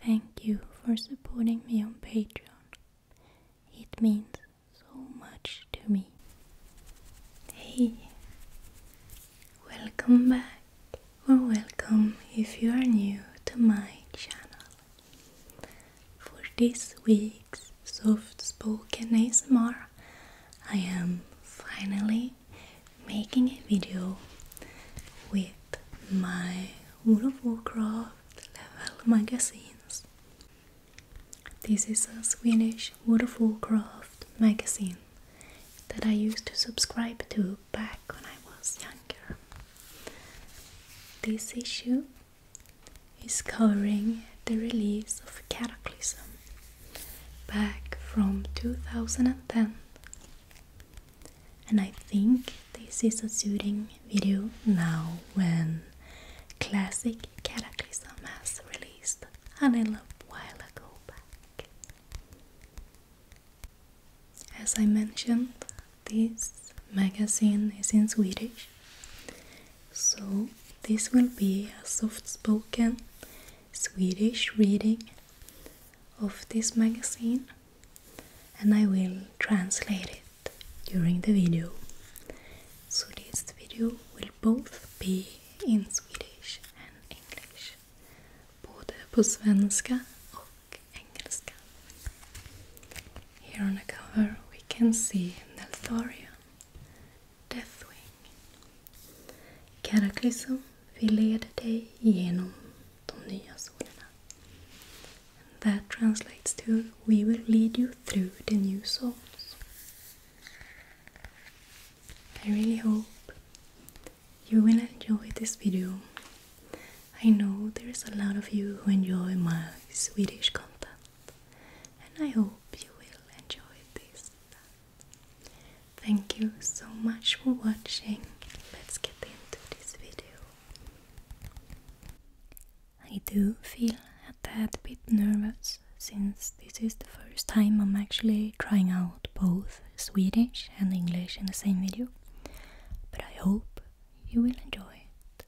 Thank you for supporting me on Patreon. It means so much to me. Hey, welcome back, or welcome if you are new to my channel. For this week's soft spoken ASMR, I am finally making a video with my World of Warcraft level magazines. This is a Swedish World of Warcraft magazine that I used to subscribe to back when I was younger. This issue is covering the release of Cataclysm back from 2010 and I think this is a suiting video now when Classic Cataclysm has released a little while ago back. As I mentioned, this magazine is in Swedish, so this will be a soft spoken Swedish reading of this magazine and I will translate it during the video. So this video will both be in Swedish and English. Både på svenska och engelska. Here on the cover we can see Nelthorian, Deathwing. Cataclysm vi leder dig genom de And that translates to We will lead you through the new souls. I really hope you will enjoy this video. I know there's a lot of you who enjoy my Swedish content, and I hope you will enjoy this. Thank you so much for watching. Let's get into this video. I do feel a tad bit nervous since this is the first time I'm actually trying out both Swedish and English in the same video, but I hope you will enjoy it.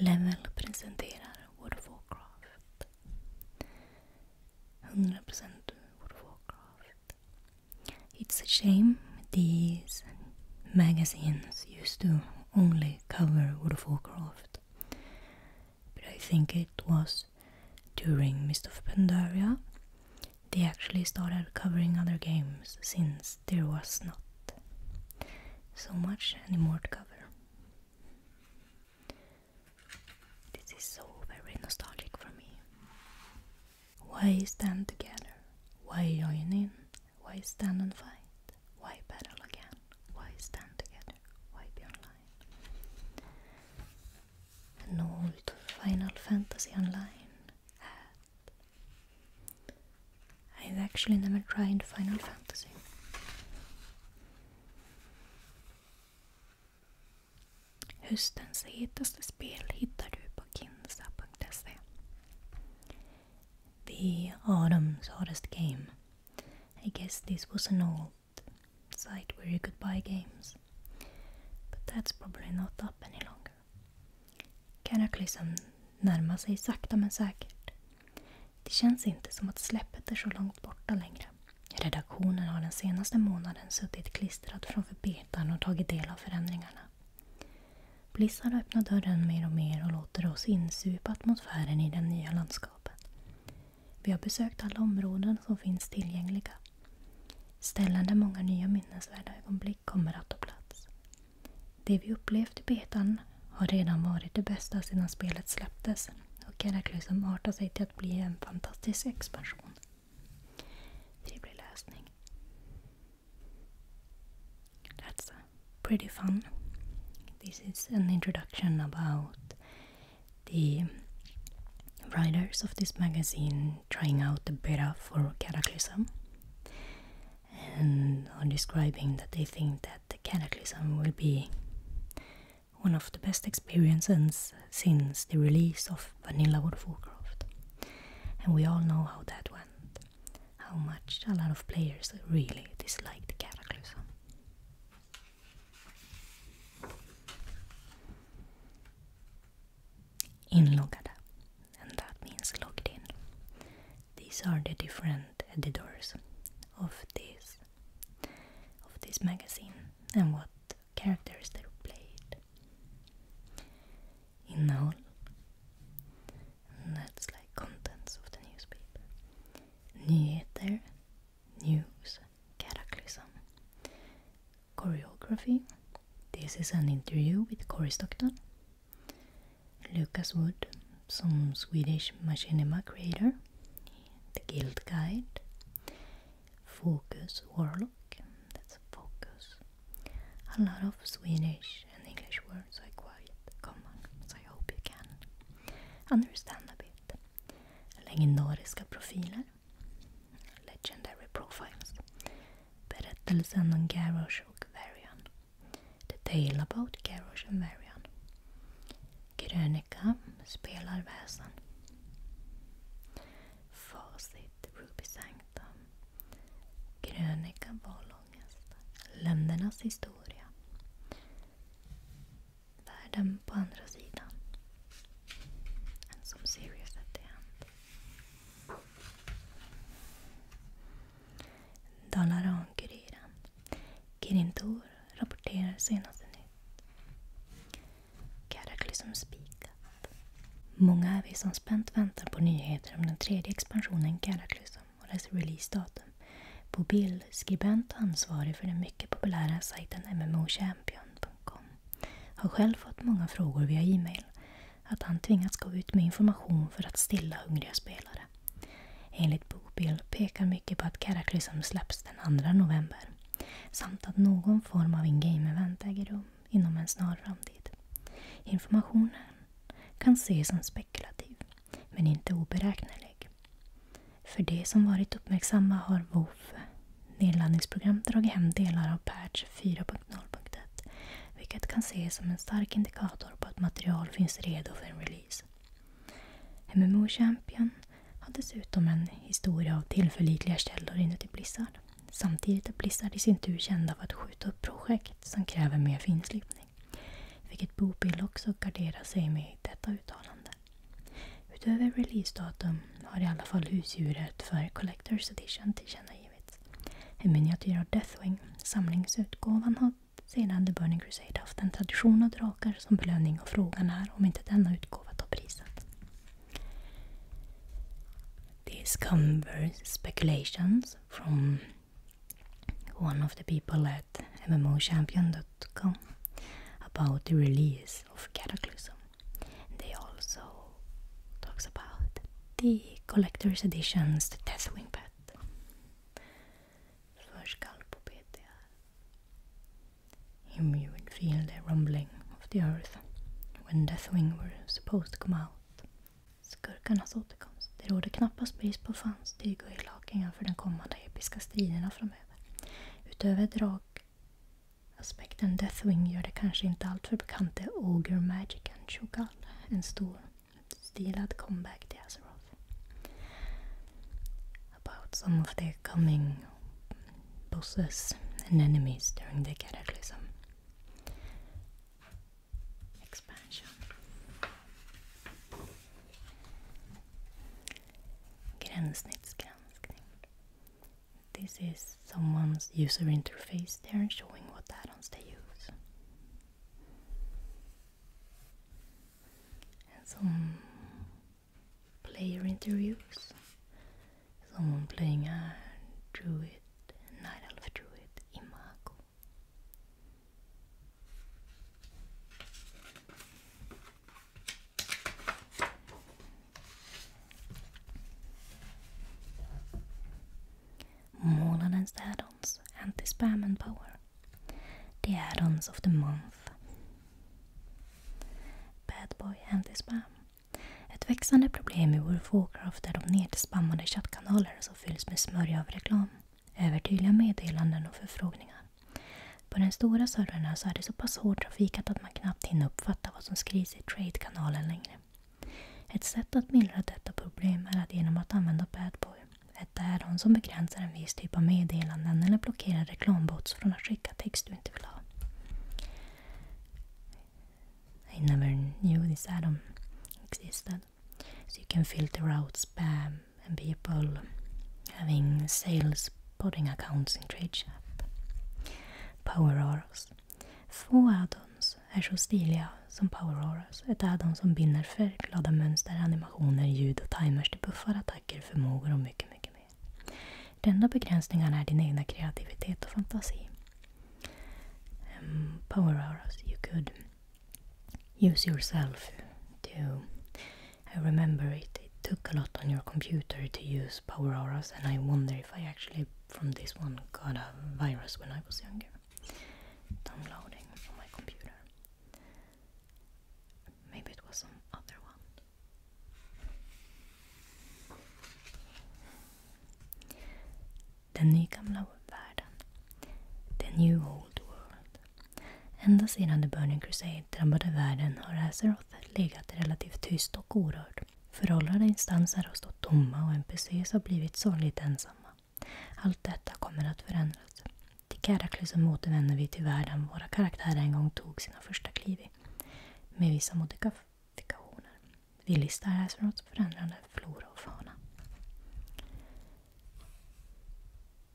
Level presenterar World of Warcraft. 100 World of Warcraft. It's a shame these magazines used to only cover World of Warcraft, but I think it was during Mist of Pandaria they actually started covering other games since there was not so much anymore to cover. This is so very nostalgic for me. Why stand together? Why join in? Why stand and fight? Why battle again? Why stand together? Why be online? An old Final Fantasy Online ad. I've actually never tried Final Fantasy. Höstens hetaste spel hittar du på kinsa.se The autumn's hottest game. I guess this was an old site where you could buy games. But that's probably not up any longer. Cataclysm närmar sig sakta men säkert. Det känns inte som att släppet är så långt borta längre. Redaktionen har den senaste månaden suttit klistrad framför betan och tagit del av förändringarna. Blissar öppnar dörren mer och mer och låter oss insupa atmosfären i det nya landskapet. Vi har besökt alla områden som finns tillgängliga. Ställen där många nya minnesvärda ögonblick kommer att ta plats. Det vi upplevt i betan har redan varit det bästa sedan spelet släpptes och Keraklysm artar sig till att bli en fantastisk expansion. Trevlig läsning. That's uh, pretty fun. This is an introduction about the writers of this magazine trying out the beta for Cataclysm and are describing that they think that the Cataclysm will be one of the best experiences since the release of Vanilla World of Warcraft. And we all know how that went how much a lot of players really disliked In Inlogada, and that means logged in. These are the different editors of this of this magazine and what characters they played. In all, that's like contents of the newspaper. Nyheter, news, cataclysm. Choreography, this is an interview with Corey Stockton. Lucas Wood, some Swedish machinima creator. The Guild Guide. Focus Warlock, that's focus. a lot of Swedish and English words are quite common, so I hope you can understand a bit. Legendariska profiler, legendary profiles, berättelsen om Garrosh och Varian, the tale about Garrosh and Varian, krönika, spelarväsen, facit, Ruby Sanctum, krönika, Valon, ångest. Ländernas historia. Världen på andra sidan. And some serious at the end. Dalaran-Kuriren. Kirintor rapporterar senaste nytt. Karaklysm spikat. Många är vi som spänt väntar på nyheter om den tredje expansionen Cataclysm och dess releasedatum. Bobill, skribent och ansvarig för den mycket populära sajten mmochampion.com, har själv fått många frågor via e-mail att han tvingats gå ut med information för att stilla hungriga spelare. Enligt Bobill pekar mycket på att Cataclysm släpps den 2 november samt att någon form av in-game-event äger rum inom en snar framtid. Informationen kan ses som spekulativ, men inte oberäknelig. För de som varit uppmärksamma har WoW nedladdningsprogram dragit hem delar av patch 4.0.1 vilket kan ses som en stark indikator på att material finns redo för en release. MMO Champion har dessutom en historia av tillförlitliga källor inuti Blizzard. Samtidigt är Blizzard i sin tur kända för att skjuta upp projekt regelverket som kräver mer finslipning. Vilket Bobil också garderar sig med i detta uttalande. Utöver releasedatum har i alla fall husdjuret för Collector's Edition tillkännagivits. En miniatyr av Deathwing, samlingsutgåvan, har sedan The Burning Crusade haft en tradition av drakar som belöning och frågan är om inte denna utgåva tar priset. These come speculations from one of the people at mmochampion.com about the release of Cataclysm. They also talks about the collector's editions, the Deathwing pet. you would feel the rumbling of the earth when Deathwing were supposed to come out. skurkarnas återkomst. Det råder knappast brist på fanstyg och elakningar för de kommande episka striderna framöver. Utöver dragaspekten Deathwing gör det kanske inte alltför bekante Ogre Magic and Shogal en stor stilad comeback till Azeroth. About some of the coming bosses and enemies during the cataclysm. expansion. Gränssnittsgranskning. This is someone's user interface They're showing what add-ons they use. And some player interviews. Someone playing a druid, night elf druid, Imago. Månadens add-ons, Anti-Spam and Power. The add-ons of the month. Bad Boy Anti-Spam. Ett växande problem i vår of Warcraft är de nedspammade chattkanaler som fylls med smörja av reklam, övertydliga meddelanden och förfrågningar. På den stora servern så är det så pass hårt trafikat att man knappt hinner uppfatta vad som skrivs i trade-kanalen längre. Ett sätt att mildra detta problem är att genom att använda Badboy, ett add-on som begränsar en viss typ av meddelanden eller blockerar reklambots från att skicka text du inte vill ha. I never knew this add-on existed. So you can filter out spam and people having sales boarding accounts in Tradeshop. Power auras. Få addons är så stiliga som Power auras. Ett addon som binder färgglada mönster, animationer, ljud och timers till buffar, attacker, förmågor och mycket, mycket mer. Den enda begränsningen är din egna kreativitet och fantasi. Um, power auras. You could use yourself to I remember it it took a lot on your computer to use power auras and I wonder if I actually from this one got a virus when I was younger. Downloading on my computer. Maybe it was some other one. den nygamla världen. The New Old World. Ända sedan The Burning Crusade drabbade världen har Azeroth legat relativt tyst och orörd. Föråldrade instanser har stått tomma och NPCs har blivit sorgligt ensamma. Allt detta kommer att förändras. Till Karaklysm återvänder vi till världen våra karaktärer en gång tog sina första kliv i. Med vissa modifikationer. Vi listar Azeroths förändrande flora och fauna.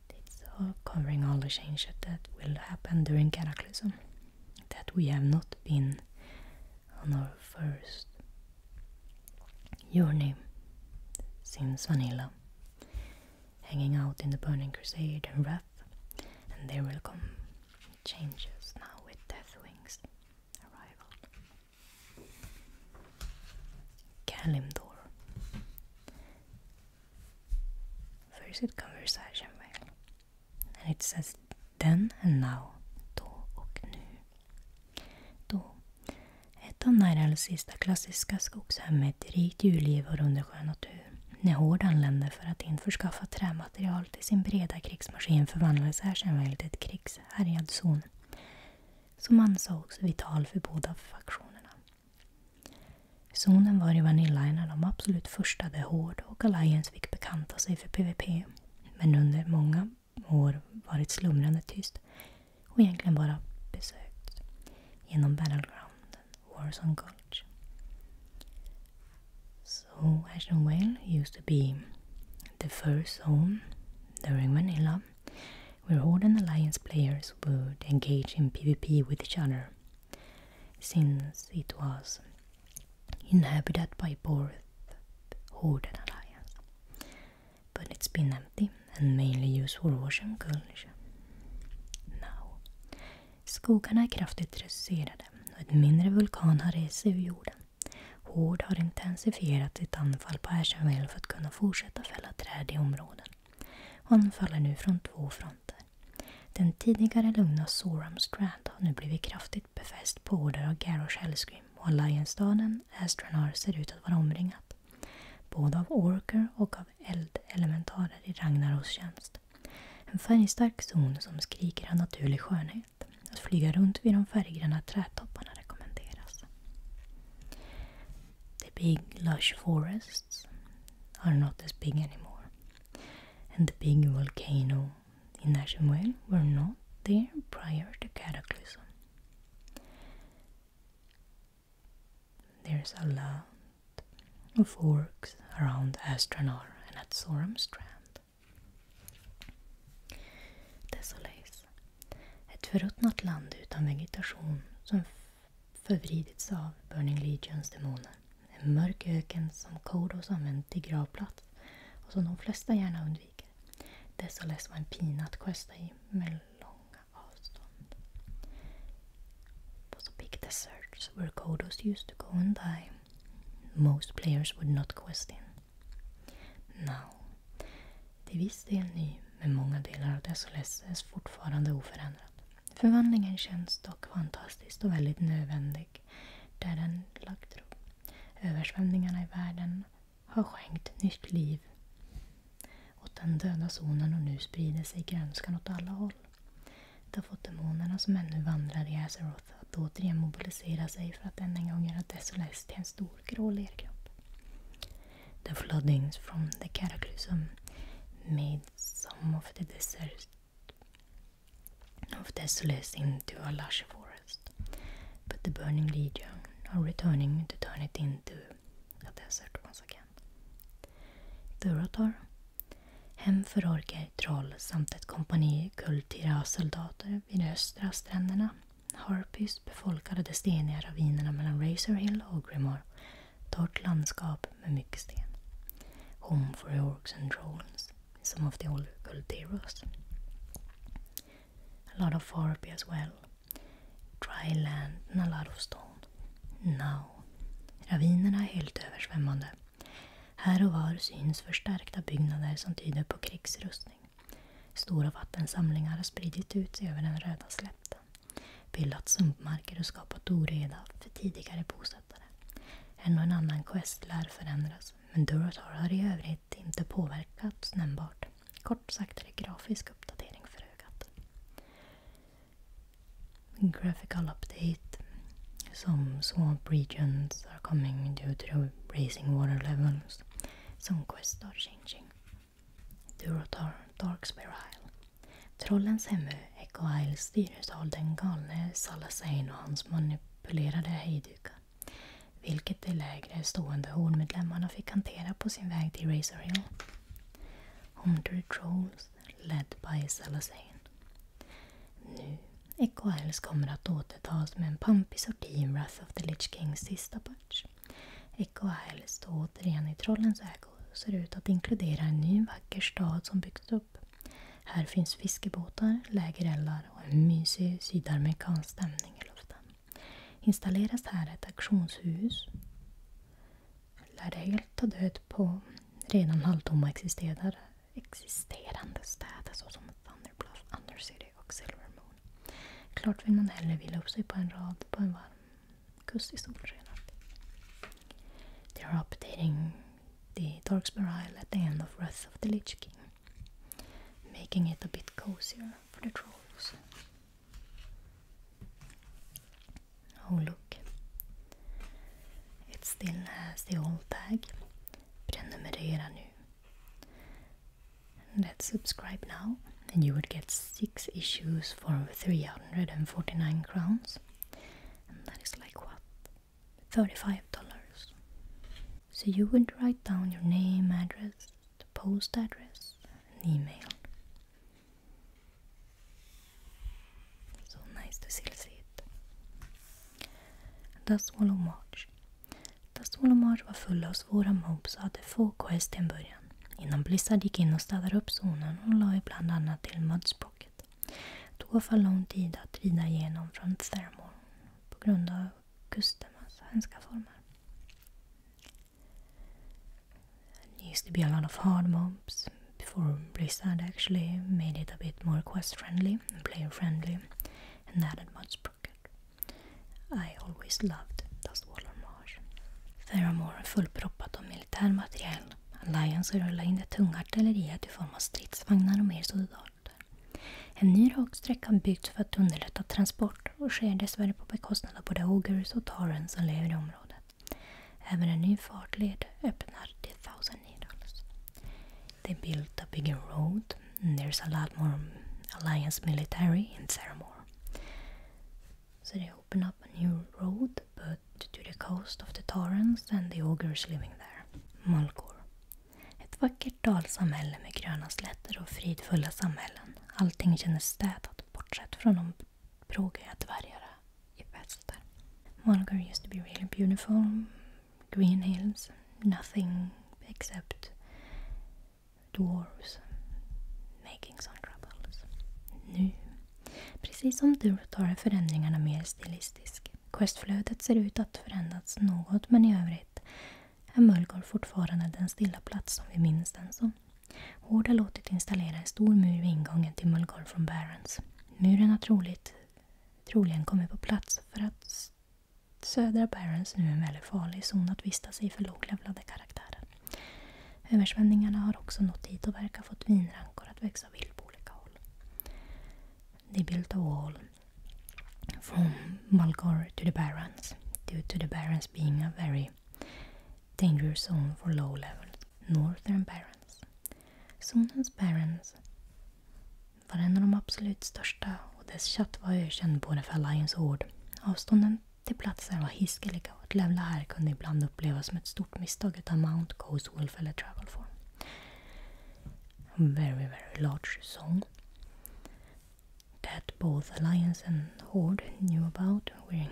It's all covering all the changes that will happen during Cataclysm that we have not been on our first journey since Vanilla, hanging out in the Burning Crusade and Wrath, and there will come changes now with Deathwing's arrival. Kalimdor. Förut konversation väl. And it says then and now. Då och nu. Då. Ett av Nairals sista klassiska skogshem med ett rikt djurliv och underskön natur. När Hård anlände för att införskaffa trämaterial till sin breda krigsmaskin förvandlades Ersenväl till ett krigshärjad zon som ansågs vital för båda fraktionerna. Zonen var i Vanilla en av de absolut första där Hård och Alliance fick bekanta sig för PVP men under många år varit slumrande tyst och egentligen bara besökt genom Battleground Wars on Gulch. So Ashenwell used to be the first zone during Vanilla where Horde and Alliance players would engage in PvP with each other, since it was inhabited by both Horde and Alliance. But it's been empty and mainly used for Russian Gulch. Now, skogarna är kraftigt reducerade och ett mindre vulkan har rest sig ur jorden. Hord har intensifierat sitt anfall på Ashenvale för att kunna fortsätta fortsätta fälla träd i områden. Anfaller nu från två fronter. Den tidigare lugna Sorum Strand har nu blivit kraftigt befäst på order av Garrosh Hellscream och Alliance-staden Astronar ser ut att vara omringat. Både av orker och av eldelementarer i Ragnaros tjänst. En färgstark zon som skriker av naturlig skönhet. Att flyga runt vid de färggranna trädtopparna rekommenderas. The big lush forests are not as big anymore, and the big volcano in Ashenwell were not there prior to Cataclysm. There's a lot of orcs around Astranar and at Sorum Strand. Desolace. Ett förruttnat land utan vegetation som förvridits av Burning Legions demoner. En mörk öken som Kodos använt till gravplats och som de flesta gärna undviker. Desoless var en pina att questa i med långa avstånd. På så big deserts where Kodos used to go and die. Most players would not quest in. Now, till viss del ny, men många delar av dess är fortfarande oförändrad. Förvandlingen känns dock fantastisk och väldigt nödvändig där den lagt ro. Översvämningarna i världen har skänkt nytt liv åt den döda zonen och nu sprider sig grönskan åt alla håll. Det har fått demonerna som ännu vandrar i Azeroth att återigen mobilisera sig för att än en gång göra Desolest till en stor solgrå lerkropp. The floodings from the cataclysm made some of the deserts of Thessalus into a lush forest, but the burning legion are returning to turn it into a desert once again. Durotar Hem för orker, troll samt ett kompani kultira soldater vid de östra stränderna Harpies befolkade de steniga ravinerna mellan Razor Hill och Ogrimar. Torrt landskap med mycket sten. Home for Orcs and Trolls, some of the old Gulderos. A lot of Harpy as well. Dry land and a lot of stone. Now. Ravinerna är helt översvämmande. Här och var syns förstärkta byggnader som tyder på krigsrustning. Stora vattensamlingar har spridit ut sig över den röda slätten. Fyllat sumpmarker och skapat oreda för tidigare bosättare. En och en annan quest lär förändras men Duratar har i övrigt inte påverkats nämnbart. Kort sagt är det grafisk uppdatering för ögat. Graphical update som Swamp Regions are coming due to raising water levels. Some quests are changing. Durotar Darkspear Isle. Trollens hemö, Echo Isles styres av den galne Salazain och hans manipulerade hejdukar. Vilket de lägre stående hornmedlemmarna fick hantera på sin väg till Razor Hill. Hunter Trolls led by Salazain. Nu, Echo Isles kommer att återtas med en pampig sorti i Wrath of the Lich Kings sista match. EKHL står återigen i trollens ägo och ser ut att inkludera en ny vacker stad som byggts upp. Här finns fiskebåtar, lägereldar och en mysig sydamerikansk stämning i luften. Installeras här ett auktionshus lär det helt ta död på redan halvtomma existerande, existerande städer såsom Thunderbluff, Undercity och Silver Moon. Klart vill man hellre vila upp sig på en rad på en varm kusthistorierna. They're updating the Darkspire Isle at the end of Wrath of the Lich King, making it a bit cozier for the trolls. Oh look, it still has the old tag. Prenumerera nu. Let's subscribe now and you would get 6 issues for 349 crowns. And that is like what? $35. So you would write down your name, address, the post address, and email. So nice to still see it. Dust Wall of March. Dust Wall of March var full av svåra mobs och hade få quest i en början. början innan Blizzard gick in och städade upp zonen och la bland annat till Muds Pocket. Det tog för lång tid att rida igenom från Thermor på grund av kusternas svenska former. Use to be a lot of hard mobs before Blizzard actually made it a bit more quest-friendly and player-friendly and added Muds Pocket. I always loved Dust Waller försvar. Ferramore fullproppat av militär materiel. Alliance rullade in det tunga artilleriet i form av stridsvagnar och mer soldater. En ny raksträcka byggts för att underlätta transport och sker dessvärre på bekostnad av både Ogers och Taren som lever i området. Även en ny fartled öppnar till Thousand Needles. They built a bigger road. There's a lot more Alliance military in Saramore. So they opened up a new road, but to the coast of the Torrens and the Ogres living there. Malgor. Ett vackert dalsamhälle med gröna slätter och fridfulla samhällen. Allting kändes städat bortsett från de bråkiga dvärgarna i väster. Malkor used to be really beautiful. Green hills, nothing except dwarves making some troubles. Nu, precis som du tar förändringarna mer stilistisk. Questflödet ser ut att förändrats något men i övrigt är Mölgård fortfarande den stilla plats som vi minns den som. Hård har låtit installera en stor mur vid ingången till Mölgård från Barons. Muren har troligt, troligen kommit på plats för att södra Barons nu är en väldigt farlig zon att vistas i för låglevlade karaktärer. Översvämningarna har också nått hit och verkar fått vinrankor att växa vilt på olika håll. They built a wall from Mulgar to the Barrens due to the Barrens being a very dangerous zone for low level northern Barrens. Zonens Barrens var en av de absolut största och dess chatt var ökänd både för Lions Horde. Avstånden De platser var hiskeliga och att levla här kunde ibland upplevas som ett stort misstag utan Mount Goes Wolf eller Travel Form. Very, very large song that both Alliance and Horde knew about wearing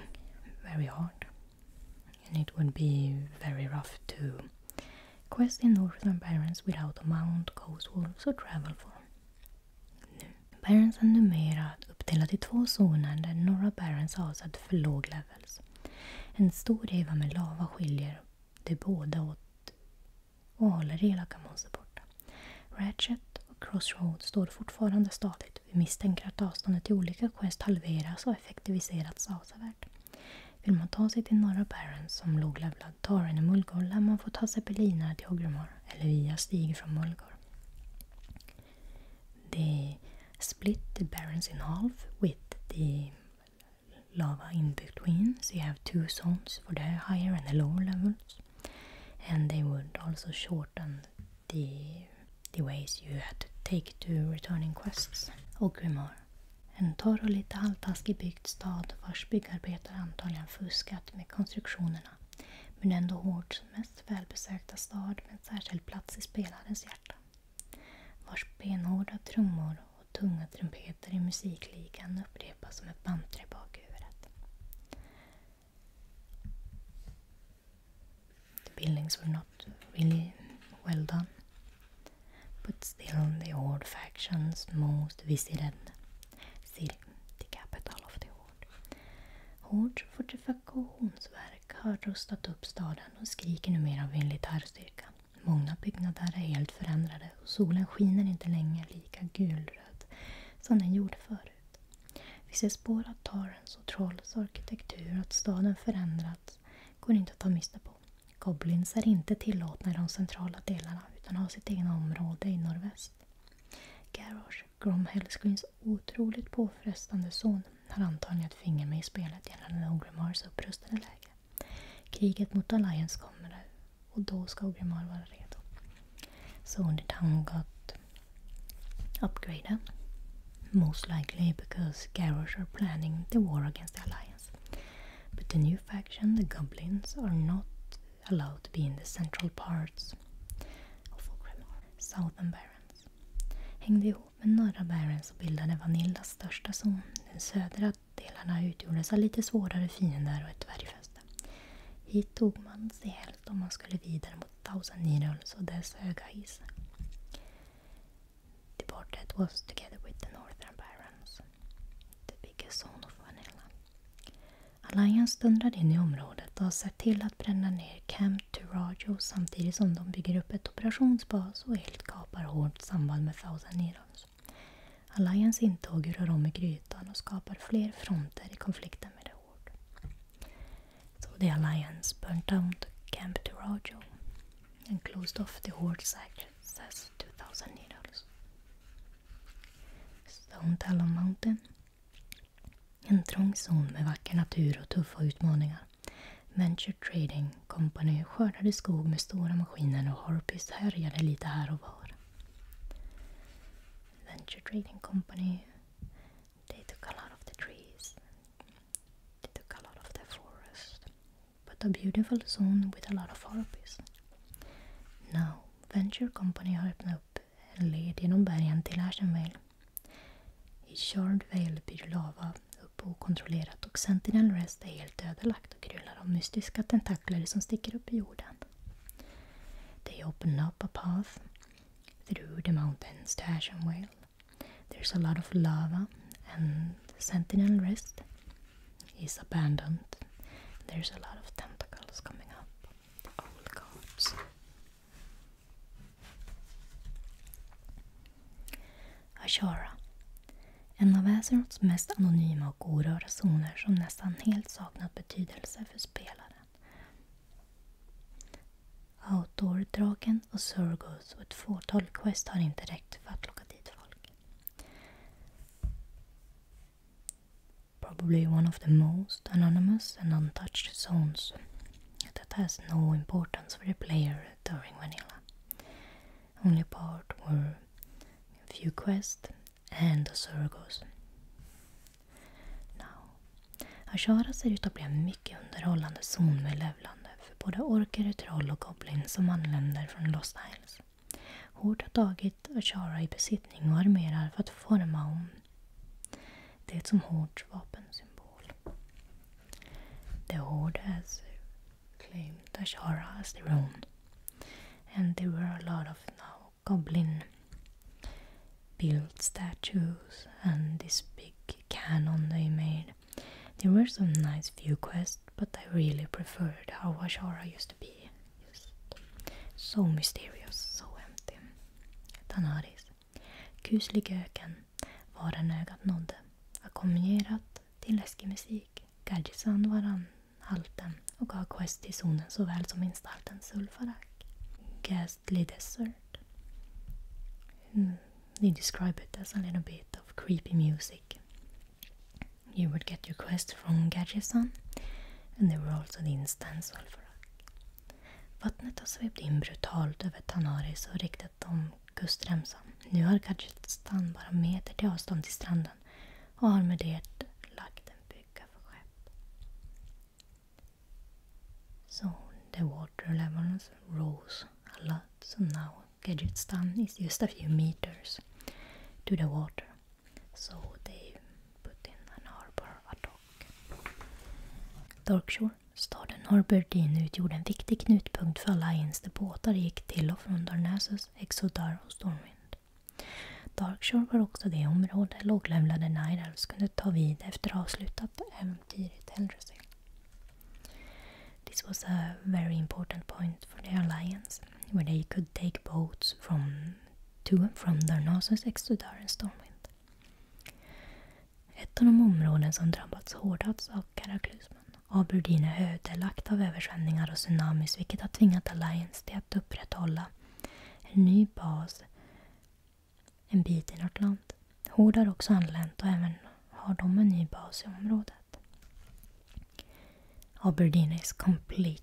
very hard. And it would be very rough to quest in Northern Barrens without a Mount Goes Wolf or Travel Form. Barons är numera uppdelad i två zoner där norra Barents är avsatt för låg levels. En stor eva med lava skiljer de båda åt och håller elaka monster borta. Ratchet och Crossroad står fortfarande stadigt. Vi misstänker att avståndet till olika quest halveras och effektiviserats avsevärt. Vill man ta sig till norra Barents som låglevlad tar en i Mulgor lär man få ta sig på lina till Ogrimmar eller via stig från Mulgor. they split the barrens in half with the lava in between. So you have two zones for the higher and the lower levels. And they would also shorten the, the ways you had to take to returning quests. Ogrimar. En torr och lite halvtaskig byggd stad vars byggarbetare antagligen fuskat med konstruktionen städerna men ändå Horts mest välbesökta stad med en särskild plats i spelarens hjärta. Vars benhårda trummor och tunga trumpeter i musikligan upprepas som ett mantra i bakhuvudet. The buildings were not really well done. But still the old factions most visited. Still the capital of the Horde. Hords fortifikationsverk nätverk har rustat upp staden och skriker numera av en militärstyrka. Många byggnader är helt förändrade och solen skiner inte längre lika gulröd som den gjorde förut. Vi ser spår av Tarens och Trolls arkitektur att staden förändrats går inte att ta miste på. Goblins är inte tillåtna i de centrala delarna utan har sitt egna område i nordväst. Garrosh George, Grom Hellscreens otroligt påfrestande son, har antagligen ett finger med i spelet gällande Ogrimars upprustade läge. Kriget mot Alliance kommer nu och då ska Ogrimar vara redo. Så the town got upgraded. Most likely because Garrosh are planning the war against the Alliance. But the new faction, the Goblins, are not allowed to be in the central parts of Ogrimmar. Southern Barrens hängde ihop med norra Barents och bildade Vanillas största zon. De södra delarna utgjordes av lite svårare fiender och ett dvärgfäste. Hit tog man sig helst om man skulle vidare mot Thousand Needles och dess höga is. The portrait was together with the northern barons. The biggest zone of Vanilla. Alliance dundrade in i området och sett till att bränna ner säger Camp Turajo samtidigt som de bygger upp ett operationsbas och helt kapar hårt samband med Thousand Needles. Alliance intåg rör om i grytan och skapar fler fronter i konflikten med The Horde. Så so the Alliance burnt down to Camp Turajo and closed off the Horde's access to Thousand Needles. Stone Talon Mountain en trång zon med vacker natur och tuffa utmaningar. Venture Trading Company skördade skog med stora maskiner och harpies härjade lite här och var. Venture Trading Company They took a lot of the trees. They took a lot of the forest. But a beautiful zone with a lot of Harpys. Now, Venture Company har öppnat upp en led genom bergen till Ashenvale i Shardvale pyr lava upp okontrollerat och Sentinel Rest är helt ödelagt och kryllar av mystiska tentakler som sticker upp i jorden. They open up a path through the mountains to Ashenwale. There's a lot of lava and Sentinel Rest is abandoned. There's a lot of tentacles coming up. The old gods. Ashara. En av Azeroths mest anonyma och orörda zoner som nästan helt saknat betydelse för spelaren. Outdoor-draken och Surgos och ett fåtal quest har inte räckt för att locka dit folk. Probably one of the most anonymous and untouched zones That has no importance for the player during vanilla. Only part were a few quests and a Surgos. Now. Ashara ser ut att bli en mycket underhållande zon med levlande för både orker, troll och goblins som anländer från Lost Isles. Hårt har tagit Ashara i besittning och armerar för att forma om Det är ett som hårds vapensymbol. The Horde has claimed Ashara as their own. And there were a lot of now goblin built statues and this big cannon they made. There were some nice view quests, but I really preferred how Ashara used to be. Just so mysterious, so empty. Tanaris. Kuslig öken var den ögat nådde, ackompanjerat till läskig musik. Gadgesan han, halten och gav quest till zonen såväl som instalten Sulfarak. Ghastly Desert. Mm. They describe it as a little bit of creepy music. You would get your quest from Gadgesan and there were also the instance Sulfarak. Vattnet har svept in brutalt över Tanaris och riktat om kustremsan. Nu har Kazakstan bara meter till avstånd till stranden och har med det lagt en bygga för skepp. So the water levels rose a lot, so now Kazakstan is just a few meters to the water. So they put in an harbor at Dork. människor. Staden Norrköping utgjorde en viktig knutpunkt för Alliance de båtar gick till och från Darnassus, Exodar och Stormwind. Darkshore var också det område låglövlade Night Elves kunde ta vid efter avslutat äventyr i This was a very important point for the Alliance, where they could take boats from to and from Darnassus, Exodar and Stormwind. Ett av de områden som drabbats hårdast av karaklysmen. Aberdeen är ödelagt av översvämningar och tsunamis vilket har tvingat Alliance till att upprätthålla en ny bas en bit inåt land. Hord har också anlänt och även har de en ny bas i området. Aberdeen is completely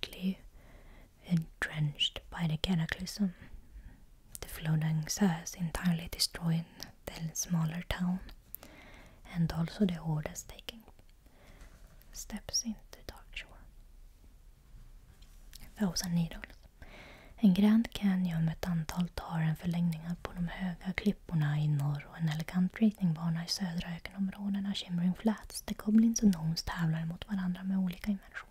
drenched by the cataclysm. The flooding has entirely destroyed the smaller town and also the orders taking steps into dark shore. Thousand Needles. En Grand Canyon med ett antal tarenförlängningar på de höga klipporna i norr och en elegant ritningbana i södra ökenområdena Shimmering Flats där Goblins och Gnomes tävlar mot varandra med olika inventioner.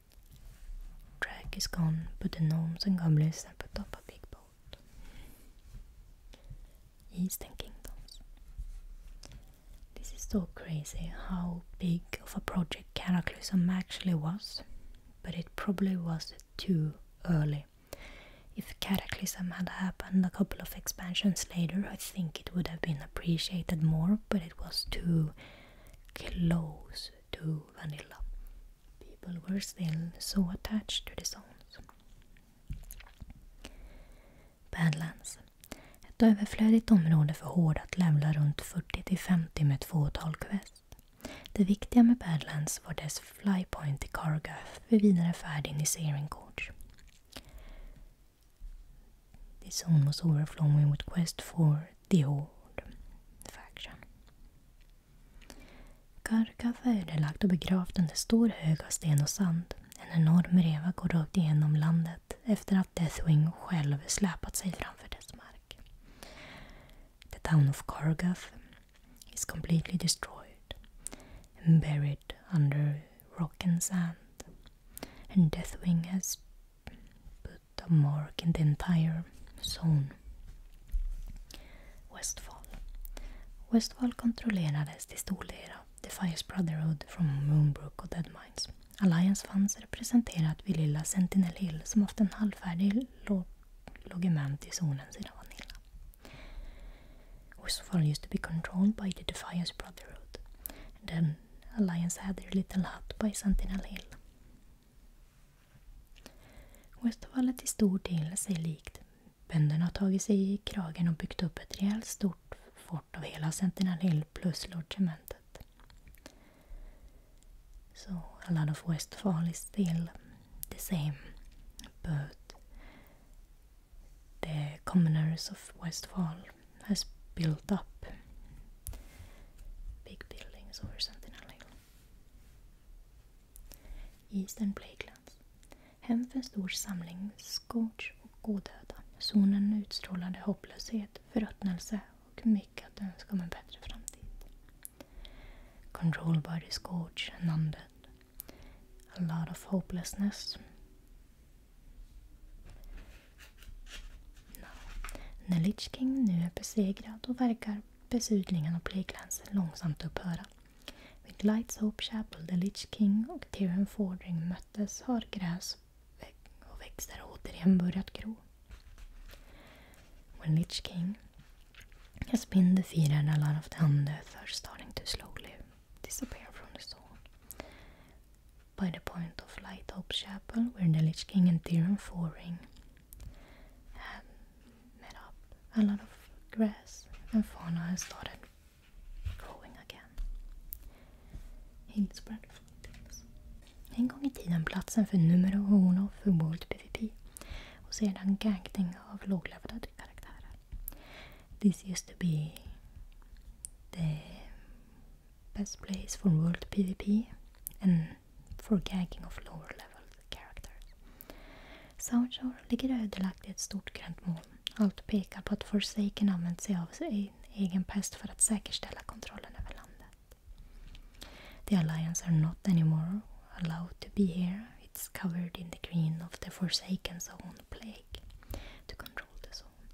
Drag is gone, but the gnomes and goblins are put up a big boat. Eastern Kingdoms. This is so crazy how big of a project Cataclysm actually was, but it probably was too early. If Cataclysm had happened a couple of expansions later, I think it would have been appreciated more, but it was too close to Vanilla. People were still so attached to the zones. Badlands. Ett överflödigt område för hård att levla runt 40-50 med ett fåtal quest. Det viktiga med Badlands var dess flypoint i Karga för vidare färd in i Searing Gorge. This zone was overflowing with quest four. The Old Faction. Karka ödelagt och begravt under stor hög av sten och sand. En enorm reva går rakt igenom landet efter att Deathwing själv släpat sig framför dess mark. The town of Kargath is completely destroyed and buried under rock and sand. And Deathwing has put a mark in the entire zone. Westfall. Westfall kontrollerades till stor del The Fires Brotherhood from Moonbrook och Dead Mines. Alliance fanns representerat at lilla Sentinel Hill some som ofta en halvfärdig lo logement i zonen sedan Vanilla. Westfall used to be controlled by the Defiance Brotherhood. And then Alliance had their little hut by Sentinel Hill. Westfallet till stor del sig likt. Bönderna har tagit sig i kragen och byggt upp ett rejält stort fort av hela Sentinel Hill plus logementet. Så a lot of Westfall is still the same. But the commoners of Westfall has built up big buildings over Sentinel Hill. Eastern Playglands. Hem för en stor samling scourge och godöda. Zonen utstrålade hopplöshet, förruttnelse och mycket att önska om en bättre framtid. Control by the scourge and undead. A lot of hopelessness. No. När Lich King nu är besegrad och verkar besudlingen och blekglansen långsamt upphöra. Vid Lights Hope Chapel The Lich King och Tyrion Fordring möttes har gräs och växter återigen börjat gro. When Lich King has been defeated a lot of the undeath are starting to slowly disappear from the zone. By the point of Light Hope Chapel where the Lich King and Tyrion Fordring um, made up a lot of grass and fauna started growing again. Hillsbred Falls. En gång i tiden platsen för nummer och numerationer för World PVP och sedan gankning av låglevlade karaktärer. This used to be the best place for World PVP and för gagging of lower level characters. Soundshore ligger ödelagt i ett stort grönt moln. Allt pekar på att Forsaken använt sig av pest för att säkerställa kontrollen över landet. The Alliance are not anymore allowed to be here. It's covered in the green of the forsaken's own plague to control the zone.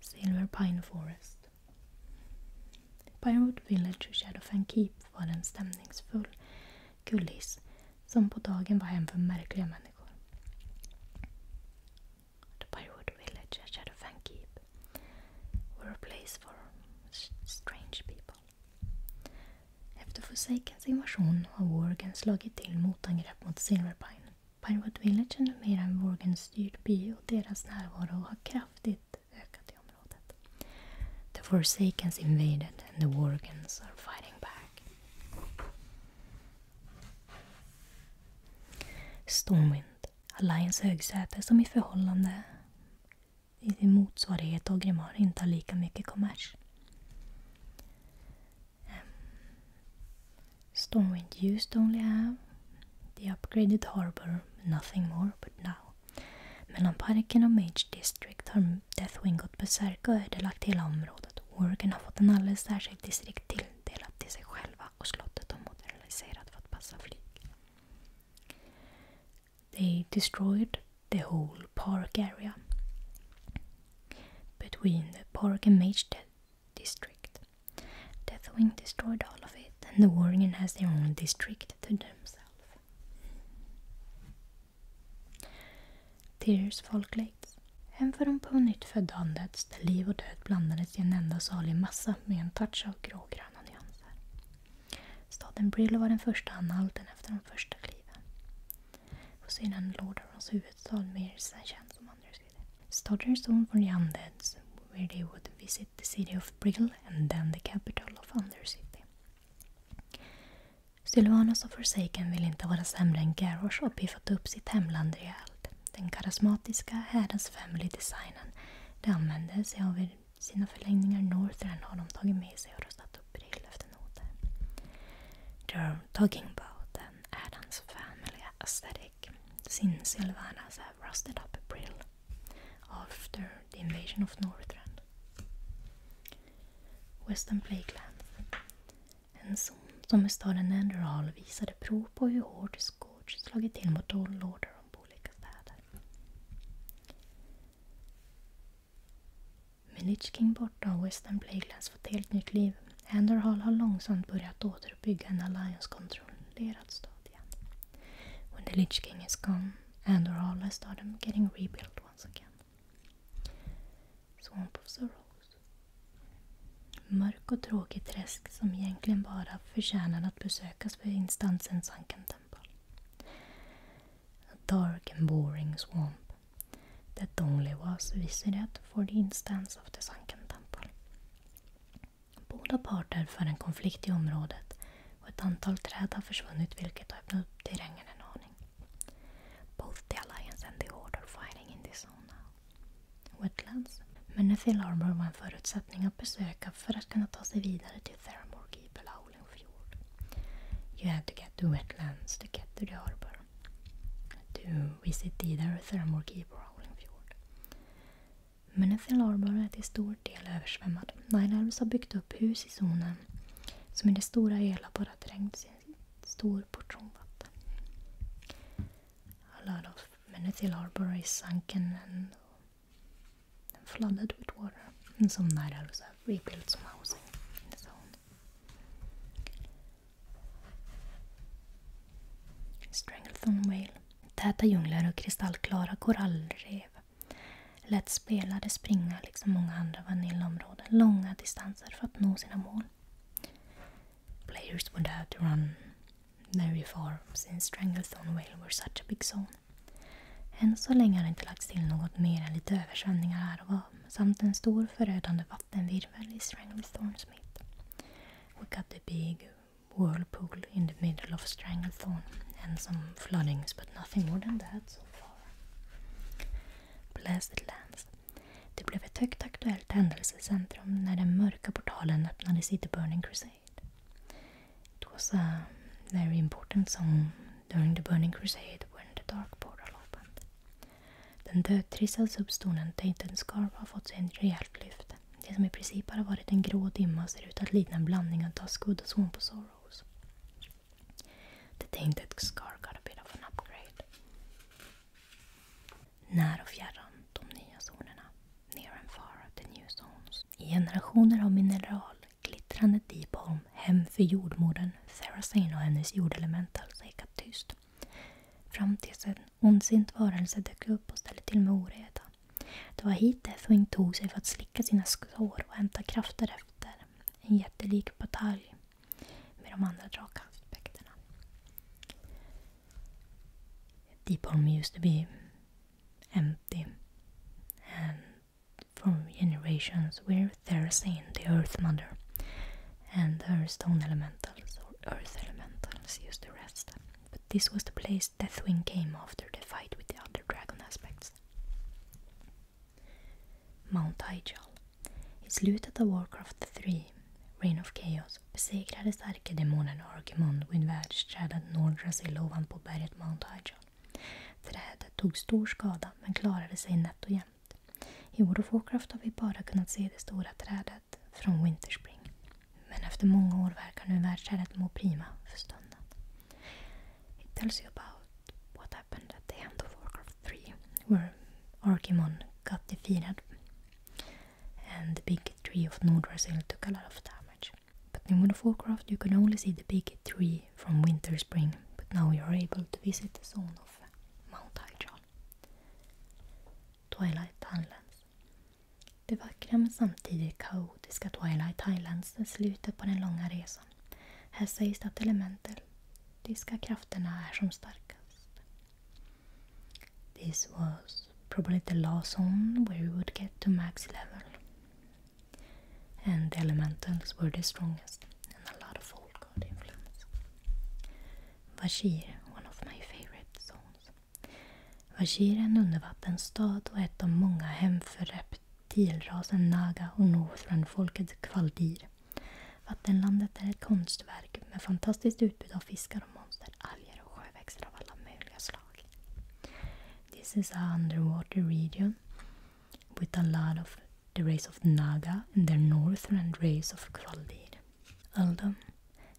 Silver Pine Forest Pinewood Village och Shadowfan Keep var en stämningsfull kullis som på dagen var hem för märkliga människor. The Pinewood Village och Shadowfan Keep were a place for strange people. Efter Forsakens invasion har Worgen slagit till motangrepp mot Silverpine. Pinewood Village är numera en Worgen-styrd by och deras närvaro har kraftigt ökat i området. The Forsakens invaded and the Worgans are fighting back. Stormwind, Alliance högsäte som i förhållande i sin motsvarighet och Grimar inte har lika mycket kommers. Ehm, Stormwind used only have the upgraded harbor, nothing more but now. Mellan parken och Mage District har Deathwing gått besärk och ödelagt hela området. Worgen har fått en alldeles särskild distrikt tilldelat till sig själva och slottet har moderniserat för att passa flyg. They destroyed the whole park area between the park and Mage District. Deathwing destroyed all of it and the Worgen has their own district to themselves. Tears folk folklights. Hem för de på nytt födandet där liv och död blandades i en enda salig massa med en touch av grågröna nyanser. Staden Brillo var den första anhalten efter de första kliven. Får sedan Lord Arons huvudstad Mirsen känd som andra sidan. Stodders son for the undeads where they would visit the city of Briggle and then the capital of Undercity. Sylvanas och Forsaken vill inte vara sämre än Garrosh och piffat upp sitt hemland rejält. Den karismatiska Hädens Family Designen de använde sig av i sina förlängningar Northern har de tagit med sig och röstat upp grill efter noter. They're talking about an Addams family aesthetic. Since Sylvanas have rusted up a brill after the invasion of Northrend. Western Plaguelands. En zon som med staden Enderal visade prov på hur hårt scorch slagit till mot lådor om olika städer. Med Lich King borta och Western Plaguelands fått helt nytt liv Enderhall har långsamt börjat återuppbygga en Alliance-kontrollerad stad igen. When the Lich King is gone, Andor all has stardom getting rebuilt once again. Swamp of Sorrows. Mörk och tråkig träsk som egentligen bara förtjänar att besökas för instansen Sunken Temple. A dark and boring swamp that only was visited for the instance of the Sunken Temple. Båda parter för en konflikt i området och ett antal träd har försvunnit vilket har öppnat upp terrängen en aning. Both the Alliance and the Order fighting in this zone now. Wetlands. Men Ethel Armor var en förutsättning att besöka för att kunna ta sig vidare till Theramore Gable Howling Fjord. You had to get to wetlands to get to the harbor. To visit either Theramore Gable Howling Fjord. Men Ethel Armor är till stor del översvämmad stad. Nine Elms har byggt upp hus i zonen som i det stora hela bara trängts i en stor portion vatten. A lot of Menetil Harbor is sunken and flooded with water. And some night elves have rebuilt some housing in the zone. Stranglethorn Whale. Täta djungler och kristallklara korallrev Let's Lätt spelare springa liksom många andra Vanilla-områden long distanser för att nå sina mål. Players would have to run very far since Stranglethorn Vale were such a big zone. And så länge har det inte lagts till något mer än lite översvämningar här och var samt en stor förödande vattenvirvel i Stranglethorns mitt. We got the big whirlpool in the middle of Stranglethorn and some floodings but nothing more than that so far. Blasted Lands. Det blev ett högt aktuellt händelsecentrum när den mörka portalen öppnades i The Burning Crusade. It was a very important song during the Burning Crusade when the Dark Portal opened. Den dödtrissade substonen Tainted Scarf har fått sig en rejält lyft. Det som i princip hade varit en grå dimma ser ut att likna en blandning av duskudd och Son på svampsår. Rose. Det tänkte Scar got a bit of an upgrade. När och fjärran, de nya zonerna. Near and far, the new zones. I generationer av mineral, glittrande Deepholm, hem för jordmodern Therasane och hennes jordelemental sekat tyst. Fram tills en ondsint varelse dök upp och ställde till med oreda. Det var hit Deathwing tog sig för att and sina sår och hämta kraft därefter. En jättelik batalj med de andra drakaspekterna. Deepholm used to be empty. And for generations were seen the Earth Mother, and her stone elementals or earth elementals used to rest. But this was the place Deathwing came after the fight with the other dragon aspects. Mount Igel. I slutet av Warcraft 3, Reign of Chaos, besegrades ärkedemonen Argimond vid världsträdet Nordrasil ovanpå berget Mount Igel. Trädet tog stor skada men klarade sig nätt och jämnt. I World of Warcraft har vi bara kunnat se det stora trädet från Winterspring. Men efter många år verkar nu världsträdet må prima för stunden. It tells you about what happened at the end of Warcraft 3, where Archimon got defeated and the big tree of Nordrasil took a lot of damage. But in World of Warcraft you can only see the big tree from Winter Spring, but now you're able to visit the zone of Mount Hyjal. Twilight Highlands Det vackra men samtidigt kaotiska Twilight Highlands är slutet på den långa resan. Här sägs det att elementaliska krafterna är som starkast. This was probably the last zone where we would get to max level. And the elementals were the strongest and a lot of old god influence. Vashir, one of my favorite zones. Vashir är en undervattensstad och ett av många hem för hemförräpp reptilrasen naga och Northland-folkets kvaldir. Vattenlandet är ett konstverk med fantastiskt utbud av fiskar och monster, alger och sjöväxter av alla möjliga slag. This is a underwater region with a lot of the race of Naga and their northland race of Kvaldir. Aldum.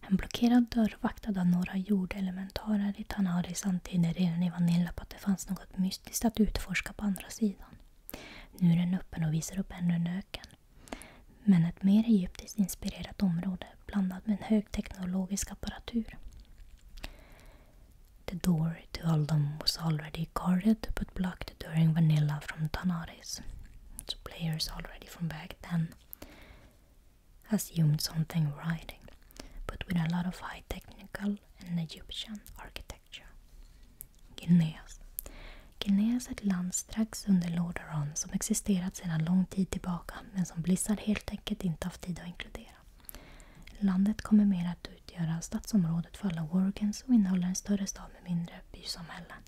En blockerad dörr vaktad av några jordelementarer i Tanaris antyder redan i Vanilla på att det fanns något något mystiskt att utforska på andra sidan. Nu är den öppen och visar upp ännu en öken. Men ett mer egyptiskt inspirerat område blandat med en högteknologisk apparatur. The door to Aldom was already guarded but blocked during Vanilla from Tanaris. So players already from back then assumed something riding. But with a lot of high technical Mughal and Egyptian Architecture. Guineas Guineas är ett land strax under Lord Aron som existerat sedan lång tid tillbaka men som Blizzard helt enkelt inte haft tid att inkludera. Landet kommer mer att utgöra stadsområdet för alla Wargans och innehåller en större stad med mindre bysamhällen.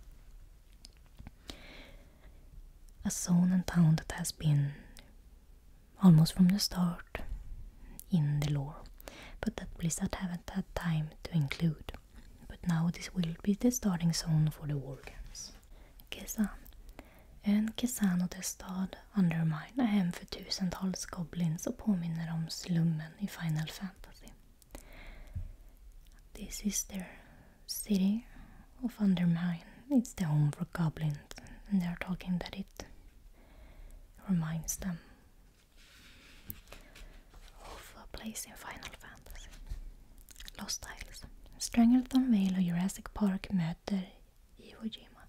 A zone and town that has been almost from the start in the lore, but that Blizzard haven't had time to include. But now this will be the starting zone for the wargames. Kesan. Ön Kesan och dess stad Undermine är hem för tusentals goblins och påminner om slummen i Final Fantasy. This is their city of Undermine. It's the home for goblins and they're talking that it reminds them Who place in Final Fantasy? Lost Isles. Strangleton Vale och Jurassic Park möter Iwo Jima.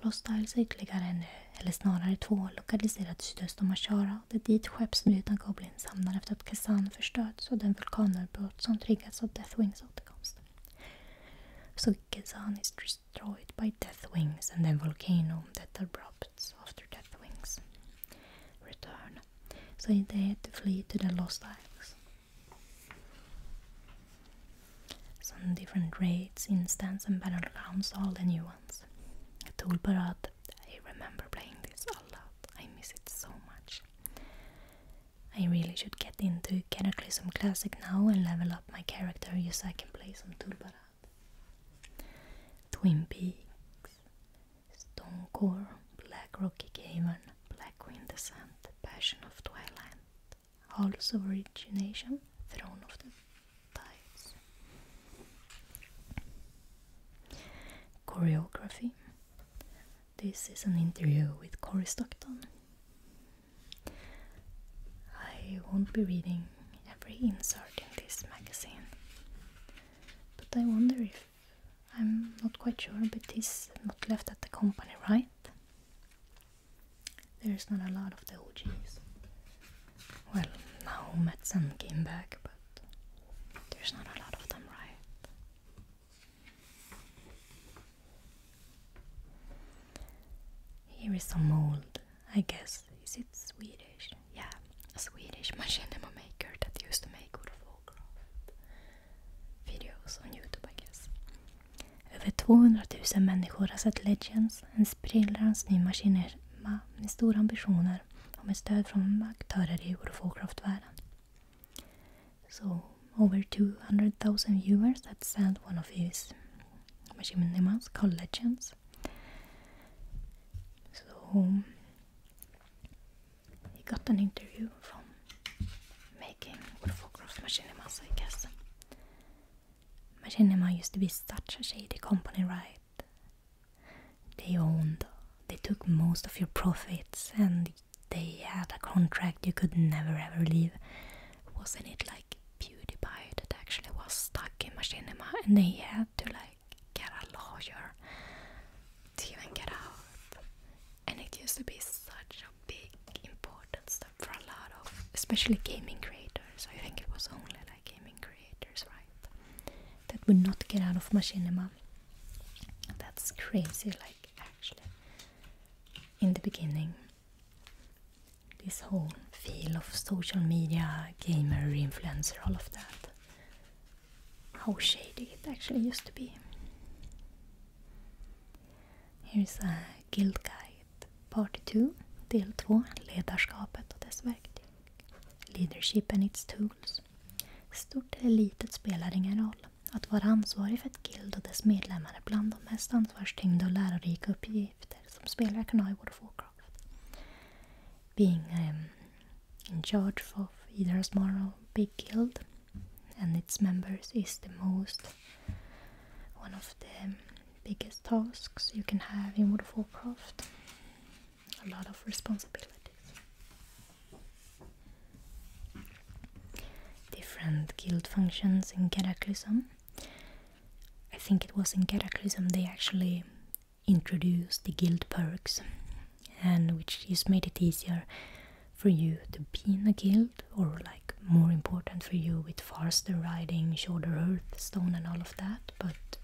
Lost Isles är ytterligare en ö, eller snarare två, lokaliserat sydöst om Ashara. Det är dit skeppsbrutna Goblins hamnar efter att Kazan förstörts och den vulkanutbrott som triggats av Deathwings återkomst. Så Kazan is destroyed by Deathwings and then volcano that erupts after Deathwings return. So they had to flee to the Lost Isles. Some different raids, instants, and battlegrounds, all the new ones. Tulbarad, I remember playing this a lot. I miss it so much. I really should get into Cataclysm Classic now and level up my character just so I can play some Tulbarad. Twin Peaks, Stonecore, Black Rocky Cavern, Blackwing Descent, Passion of Twilight, Halls of Origination, Throne of the Tides. Choreography. This is an interview with Corey Stockton. I won't be reading every insert in this magazine, but I wonder if I'm not quite sure, but it's not left at the company, right? There's not a lot of the OGs. Well, now Metzen came back, but there's not a lot of them, right? Here is some mold, I guess. Is it Swedish? Yeah, a Swedish machinima maker that used to make woodfolkraft videos on Youtube, I guess. Över 200 000 människor har sett Legends, en sprillans ny machinima med stora ambitioner och med stöd från aktörer i woodfolkraftvärlden. So, over 200,000 viewers that sent one of his machinimas called Legends so he got an interview from making Orfograph Machinima, so I guess. Machinima used to be such a shady company, right? They owned, they took most of your profits and they had a contract you could never ever leave. Wasn't it like like that actually was stuck in Machinima and they had to like get a lawyer to even get out. And it used to be such a big important step for a lot of especially gaming creators. I think it was only like gaming creators, right? That would not get out of Machinima. That's crazy, like actually in the beginning this whole field of social media, gamer, influencer, all of that. How shady it actually used to be. Here's a Guild Guide Part 2, del 2, ledarskapet och dess verktyg. Leadership and its tools. Stort eller litet spelar ingen roll. Att vara ansvarig för ett guild och dess medlemmar är bland de mest ansvarstyngda och lärorika uppgifter som spelare kan ha i World of Warcraft. being um, in charge of either small big guild and its members is the most one of the biggest tasks you can have in waterfall a lot of responsibilities different guild functions in cataclysm I think it was in Cataclysm um, they actually introduced the guild perks, and which just made it easier for you to be in a guild, or like more important for you with faster riding, shorter stone, and all of that. But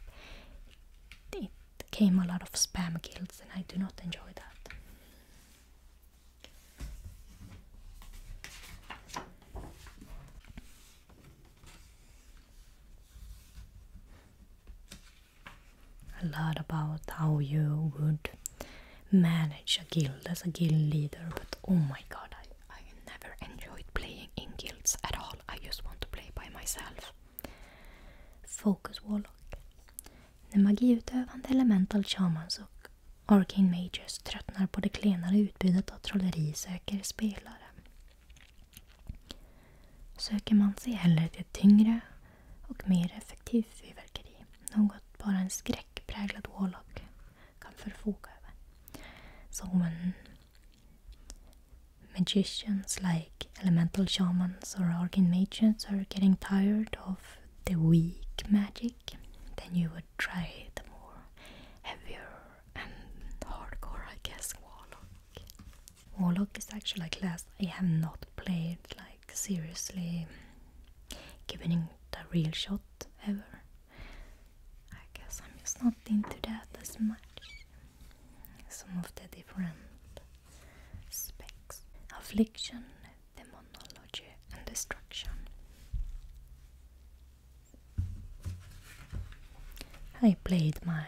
it came a lot of spam guilds, and I do not enjoy that. I learned about how you would manage a guild as a guild leader, but oh my god, I, I never enjoyed playing in guilds at all. I just want to play by myself. Focus Warlock. När magiutövande elemental shamans och arcane majors tröttnar på det klenare utbudet av trolleri söker spelaren söker man sig hellre till ett tyngre och mer effektivt fyrverkeri. Något bara en skräckpräglad Warlock kan förfoga över. Som en Magicians like elemental shamans or arcane mages are getting tired of the weak magic, then you would try the more heavier and hardcore, I guess, Warlock. Warlock is actually a class I have not played, like, seriously giving the real shot ever. I guess I'm just not into that as much. Some of the different specs affliction, demonology, and destruction. I played my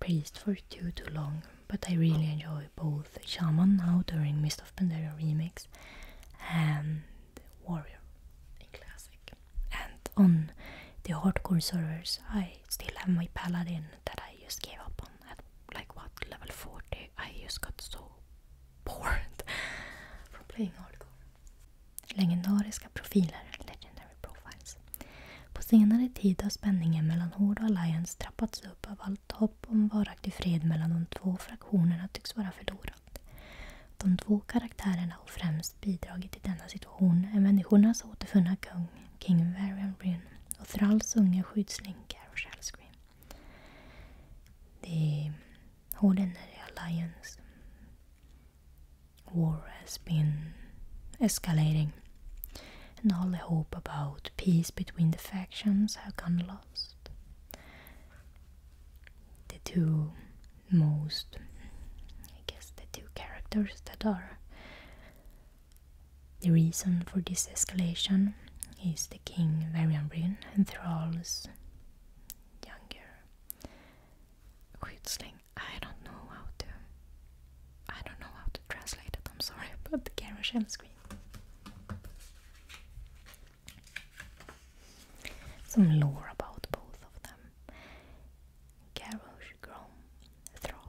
priest for too too long, but I really enjoy both Shaman now during Mist of Pandaria remix and Warrior in Classic. And on the hardcore servers I still have my Paladin that I just gave up on at like what level 40. I just got so bored from playing hardcore. Legendariska profiler, legendary profiles. På senare tid har spänningen mellan Horde och Alliance trappats upp av allt hopp om varaktig fred mellan de två fraktionerna tycks vara förlorat. De två karaktärerna har främst bidragit till denna situation är människornas återfunna kung, King Varian Bryn och Thralls unge skyddsling Garrosh Shellscream. Det är Horden är Alliance. war has been escalating, and all the hope about peace between the factions have gone lost. The two most, I guess, the two characters that are the reason for this escalation is the king Varianbrin and Thrall's younger Skydslink. I don't know how to I don't know how to translate it, I'm sorry about the carousel screen. Some lore about both of them. Garrosh, Grom, Thrall.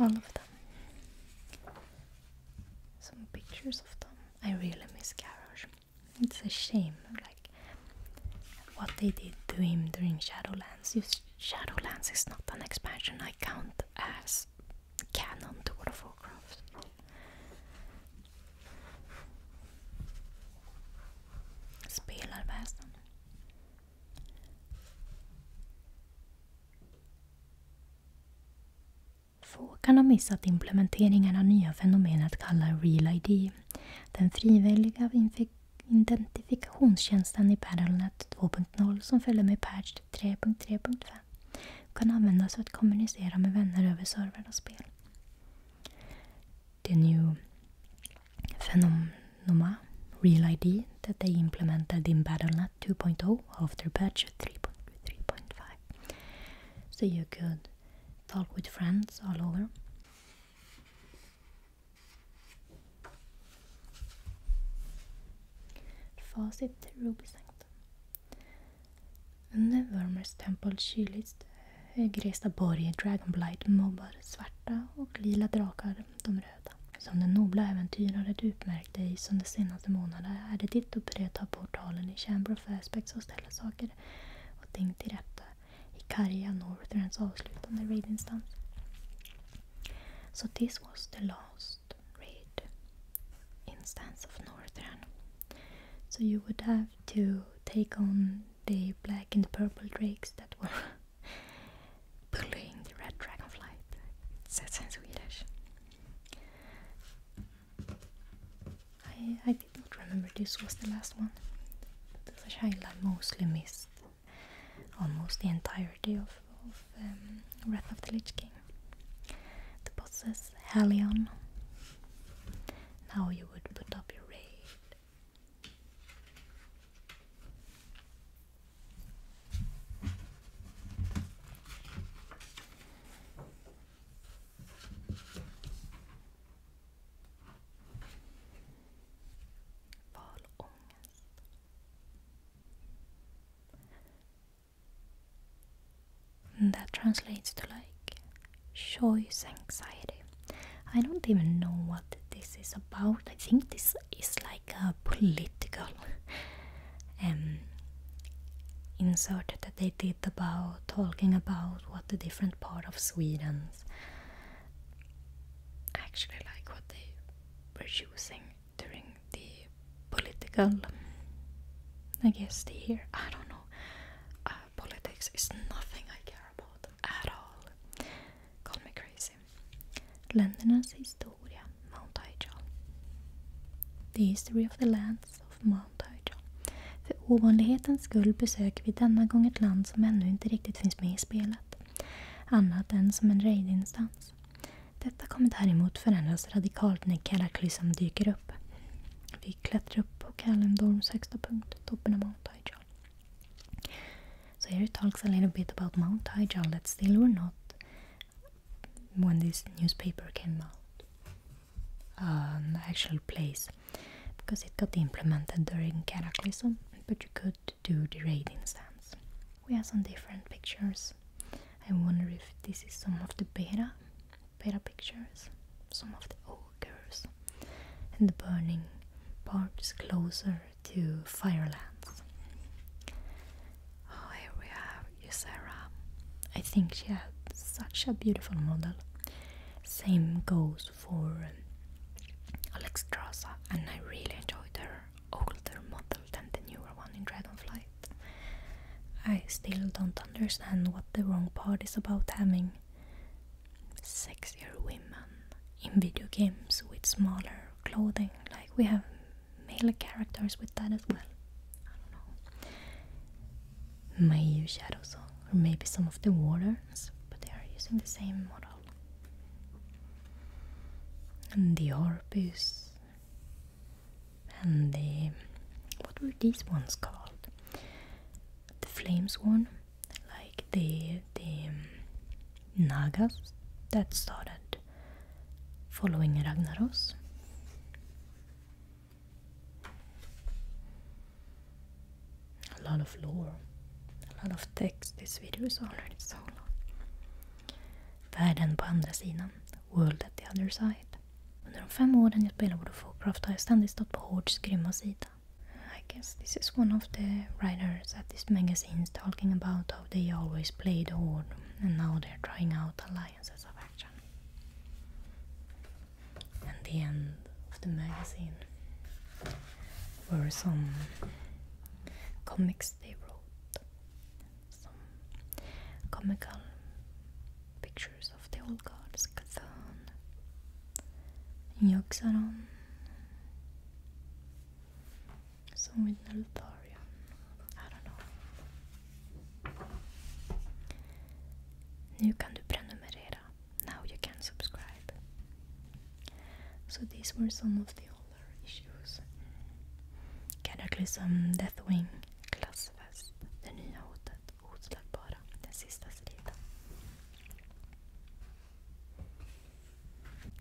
All of them. Some pictures of them. I really miss Garrosh. It's a shame, like what they did to him during Shadowlands. Just Shadowlands is not an expansion I count as canon to World of Warcraft. Spelarväsen. Få kan ha missat implementeringen av nya fenomenet kallat Real ID Den frivilliga identifikationstjänsten i Parallnet 2.0 som följer med Patch 3.3.5 kan användas för att kommunicera med vänner över servrar och spel. The new Phenomena Real ID that they implemented in Battle.net 2.0 after patch 3.3.5. So you could talk with friends all over. Facit till Rubysankten. Under Wormers Temple, kyligt högresta borg Dragonblight mobbar svarta och lila drakar de röda. Som den nobla äventyraret utmärkt dig som de senaste månaderna är det ditt uppdrag att ta portalen i Chamber of Aspects och ställa saker och ting till rätta Ikaria Northerns raiding raidinstans. So this was the last raid instance of Northern. So you would have to take on the black and purple drakes that were bullying the red dragonflight. It in Swedish. I did not remember this was the last one. This child I mostly missed almost the entirety of, um, Wrath of the Lich King. The bosses, Helion. Now you would put up your raid. Mm, that translates to like choice anxiety. I don't even know what this is about. I think this is like a political um, insert that they did about talking about what the different part of Sweden's actually like what they were using during the political, I guess, the year. I don't know. Uh, politics is nothing I care about at all. Call me crazy. Ländernas historia, Mount The history of the lands of Mount Aijal. För ovanlighetens skull besöker vi denna gång ett land som ännu inte riktigt finns med i spelet, annat än som en raidinstans. Detta kommer däremot förändras radikalt när Kalaklysm dyker upp. Vi klättrar upp på Kalendorms högsta punkt, toppen av Mount Hyjal. So here it talks a little bit about Mount Hyjal that still were not when this newspaper came out. An actual place because it got implemented during Cataclysm, but you could do the raid instance. We have some different pictures. I wonder if this is some of the beta, beta pictures, some of the ogres, and the burning part is closer to Firelands. Oh, here we have Ysera. I think she had such a beautiful model. Same goes was for um, Alexstrasza and I really enjoyed her older model than the newer one in Dragonflight. I still don't understand what the wrong part is about having sexier women in video games with smaller clothing. Like we have male characters with that as well. I don't know. Mayu Shadow Song, or maybe some of the Wardens, but they are using the same model. And the Orpus. And the. What were these ones called? The flames one? Like the, the um, Nagas that started following Ragnaros a lot of lore, a lot of text. This video is already so long. Världen på andra sidan, world at the other side. Under de fem åren jag spelade World of Warcraft ständigt stått på Hordes grymma sida. I guess this is one of the writers at this magazine's talking about how they always played Horde and now they're trying out alliances of action. And then of the magazine were some comics they wrote, some comical pictures of the old gods, Cthon, yogg some with Neltharion, I don't know. Nu kan du prenumerera now you can subscribe. So these were some of the older issues. Cataclysm, Deathwing, Klassfest, Det nya hotet, Oslagbara, Den sista striden.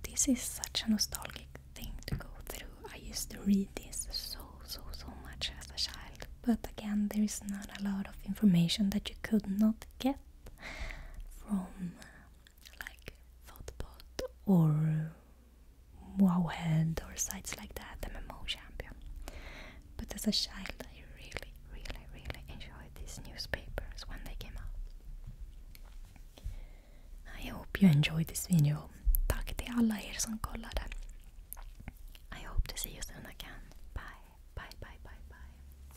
This is such a nostalgic thing to go through. I used to read this so, so, so much as a child. But again, there is not a lot of information that you could not get from like Thoughtbot or Wowhead or sites like that, MMO Champion. But as a child, I really, really, really enjoyed these newspapers when they came out. I hope you enjoyed this video. Tack till alla er som kollade. I hope to see you soon again. Bye, bye, bye, bye, bye.